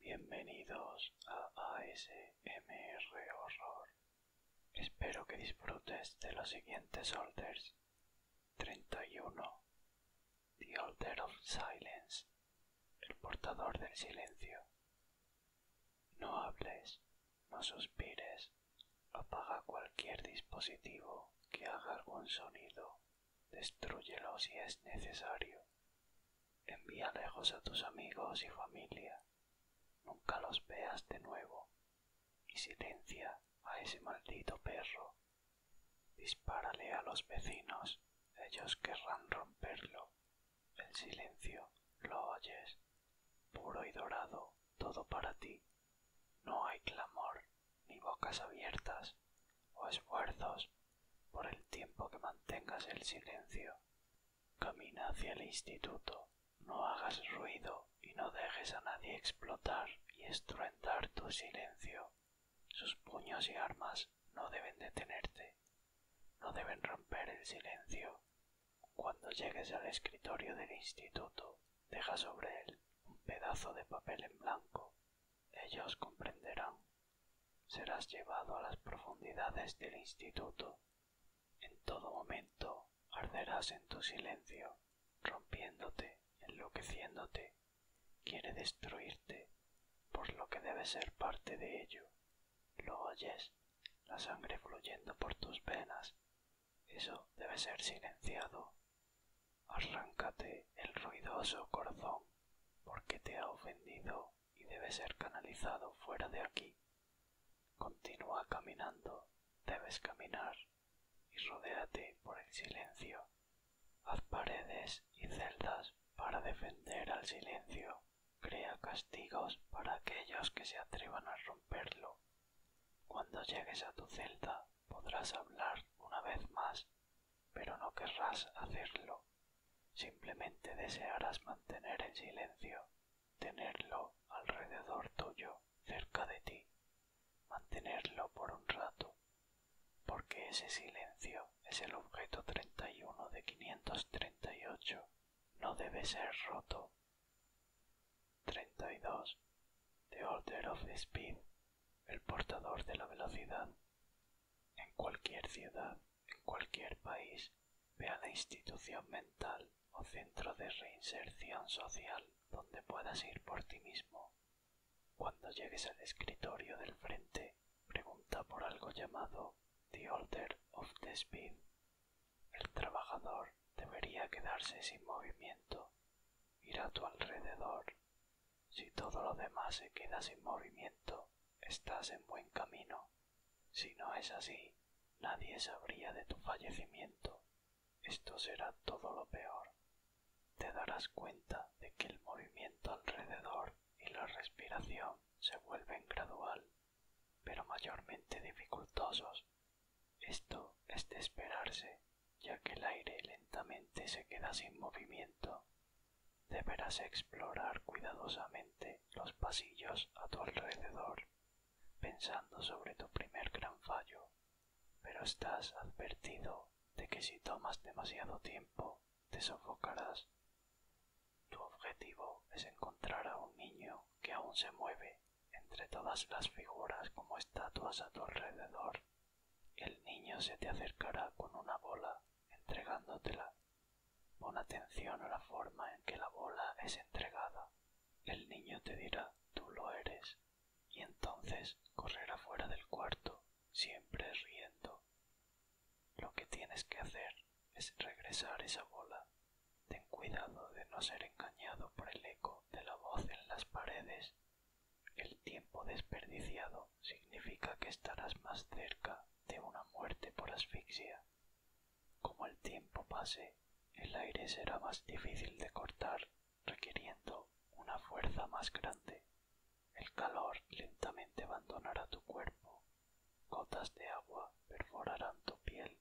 Bienvenidos a ASMR Horror. Espero que disfrutes de los siguientes alters. 31. The Alter of Silence. El portador del silencio. No hables, no suspires, apaga cualquier dispositivo que haga algún sonido, destruyelo si es necesario. Envía lejos a tus amigos y familia, nunca los veas de nuevo, y silencia a ese maldito perro. Dispárale a los vecinos, ellos querrán romperlo el silencio lo oyes, puro y dorado, todo para ti. No hay clamor, ni bocas abiertas, o esfuerzos por el tiempo que mantengas el silencio. Camina hacia el instituto, no hagas ruido y no dejes a nadie explotar y estruendar tu silencio. Sus puños y armas no deben detenerte, no deben romper el silencio, cuando llegues al escritorio del instituto, deja sobre él un pedazo de papel en blanco. Ellos comprenderán. Serás llevado a las profundidades del instituto. En todo momento arderás en tu silencio, rompiéndote, enloqueciéndote. Quiere destruirte, por lo que debe ser parte de ello. Lo oyes, la sangre fluyendo por tus venas. Eso debe ser silenciado. Arráncate el ruidoso corazón, porque te ha ofendido y debe ser canalizado fuera de aquí. Continúa caminando, debes caminar, y rodéate por el silencio. Haz paredes y celdas para defender al silencio crea castigos para aquellos que se atrevan a romperlo. Cuando llegues a tu celda podrás hablar una vez más, pero no querrás hacerlo. Simplemente desearás mantener el silencio, tenerlo alrededor tuyo, cerca de ti, mantenerlo por un rato, porque ese silencio es el objeto 31 de 538. No debe ser roto. 32. The Order of Speed. El portador de la velocidad. En cualquier ciudad, en cualquier país, vea la institución mental o centro de reinserción social donde puedas ir por ti mismo. Cuando llegues al escritorio del frente, pregunta por algo llamado The Order of the Speed. El trabajador debería quedarse sin movimiento. Ir a tu alrededor. Si todo lo demás se queda sin movimiento, estás en buen camino. Si no es así, nadie sabría de tu fallecimiento. Esto será todo lo peor. Te darás cuenta de que el movimiento alrededor y la respiración se vuelven gradual, pero mayormente dificultosos. Esto es de esperarse, ya que el aire lentamente se queda sin movimiento. Deberás explorar cuidadosamente los pasillos a tu alrededor, pensando sobre tu primer gran fallo, pero estás advertido de que si tomas demasiado tiempo te sofocarás. Tu objetivo es encontrar a un niño que aún se mueve entre todas las figuras como estatuas a tu alrededor. El niño se te acercará con una bola, entregándotela. Pon atención a la forma en que la bola es entregada. El niño te dirá, tú lo eres, y entonces correrá fuera del cuarto, siempre riendo. Lo que tienes que hacer es regresar esa bola. Ten cuidado de no ser engañado por el eco de la voz en las paredes. El tiempo desperdiciado significa que estarás más cerca de una muerte por asfixia. Como el tiempo pase, el aire será más difícil de cortar, requiriendo una fuerza más grande. El calor lentamente abandonará tu cuerpo. Gotas de agua perforarán tu piel.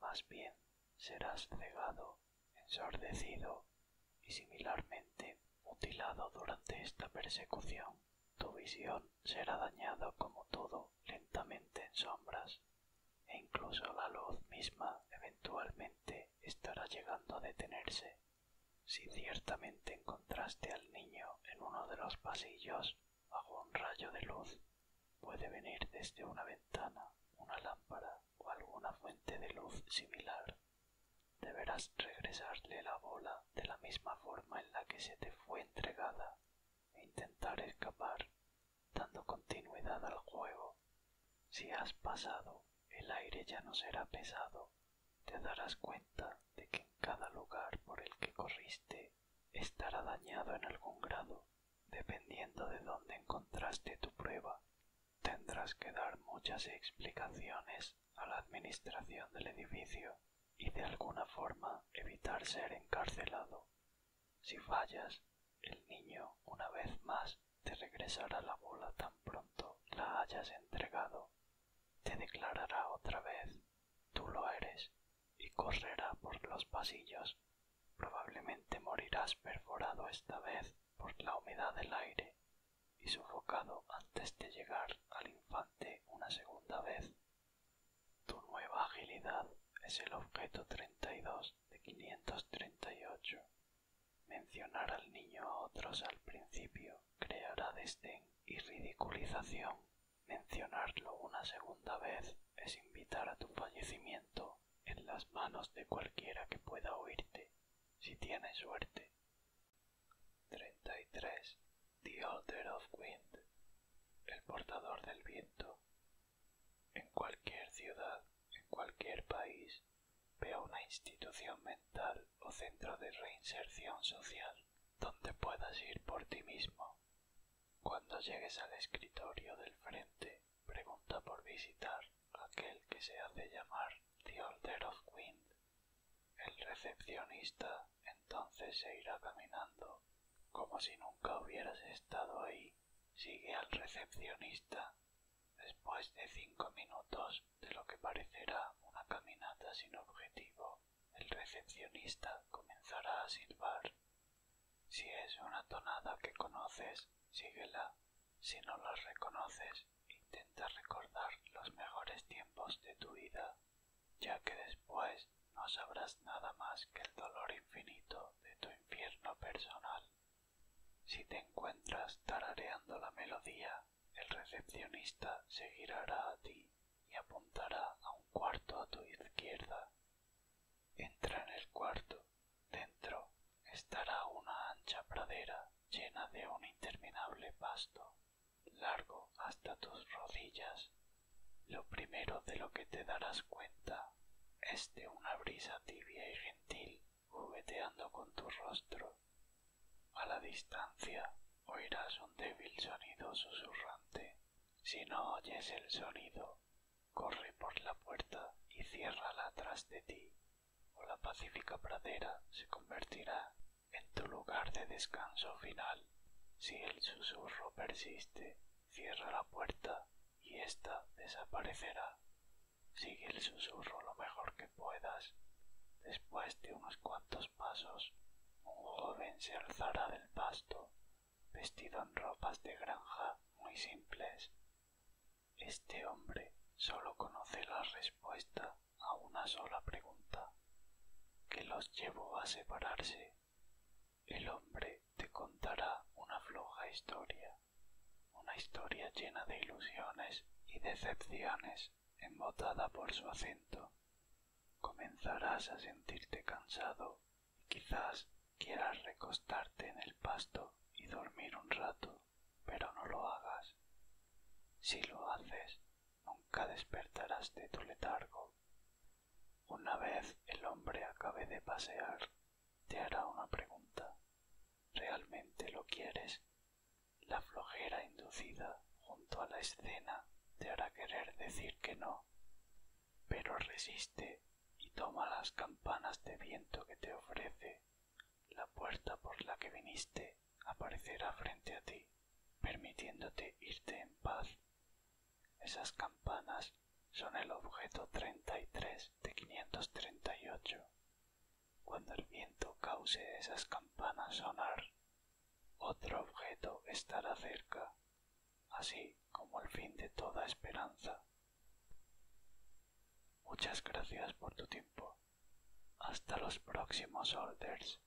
Más bien serás cegado, ensordecido y similarmente mutilado durante esta persecución. Tu visión será dañada como todo lentamente en sombras e incluso la luz misma eventualmente estará llegando a detenerse. Si ciertamente encontraste al niño en uno de los pasillos bajo un rayo de luz, puede venir desde una ventana, una lámpara o alguna fuente de luz similar. Deberás regresarle la bola de la misma forma en la que se te fue entregada e intentar escapar, dando continuidad al juego si has pasado, el aire ya no será pesado, te darás cuenta de que en cada lugar por el que corriste estará dañado en algún grado, dependiendo de dónde encontraste tu prueba. Tendrás que dar muchas explicaciones a la administración del edificio y de alguna forma evitar ser encarcelado. Si fallas, el niño, una vez más, te regresará la bola tan pronto la hayas entregado, te declarará otra vez tú lo eres y correrá por los pasillos. Probablemente morirás perforado esta vez por la humedad del aire y sufocado antes de llegar al infante una segunda vez. Tu nueva agilidad es el objeto 32 de 538 Mencionar al niño a otros al principio creará desdén y ridiculización. Mencionarlo una segunda vez es invitar a tu fallecimiento en las manos de cualquiera que pueda oírte, si tienes suerte. 33. The of Wind, el portador del viento. En cualquier ciudad, en cualquier país, Veo una institución mental o centro de reinserción social donde puedas ir por ti mismo. Cuando llegues al escritorio del frente, pregunta por visitar aquel que se hace llamar The Order of El recepcionista entonces se irá caminando, como si nunca hubieras estado ahí. Sigue al recepcionista Después de cinco minutos de lo que parecerá una caminata sin objetivo, el recepcionista comenzará a silbar. Si es una tonada que conoces, síguela. Si no la reconoces, intenta recordar los mejores tiempos de tu vida, ya que después no sabrás nada más que el dolor infinito de tu infierno personal. Si te encuentras tarareando la melodía, el recepcionista se a ti y apuntará a un cuarto a tu izquierda. Entra en el cuarto. Dentro estará una ancha pradera llena de un interminable pasto, largo hasta tus rodillas. Lo primero de lo que te darás cuenta es de una brisa tibia y gentil jugueteando con tu rostro. A la distancia oirás un débil sonido susurrante. Si no oyes el sonido, corre por la puerta y ciérrala tras de ti, o la pacífica pradera se convertirá en tu lugar de descanso final. Si el susurro persiste, cierra la puerta y esta desaparecerá. Sigue el susurro lo mejor que puedas. Después de unos cuantos pasos, un joven se alzará del pasto, vestido en ropas de granja muy simples. Este hombre solo conoce la respuesta a una sola pregunta, que los llevó a separarse. El hombre te contará una floja historia, una historia llena de ilusiones y decepciones, embotada por su acento. Comenzarás a sentirte cansado y quizás quieras recostarte en el pasto y dormir un rato, pero no lo hagas. Si lo haces, nunca despertarás de tu letargo. Una vez el hombre acabe de pasear, te hará una pregunta. ¿Realmente lo quieres? La flojera inducida junto a la escena te hará querer decir que no, pero resiste y toma las campanas de viento que te ofrece. La puerta por la que viniste aparecerá frente a ti, permitiéndote irte en paz esas campanas son el objeto 33 de 538. Cuando el viento cause esas campanas sonar, otro objeto estará cerca, así como el fin de toda esperanza. Muchas gracias por tu tiempo. Hasta los próximos orders.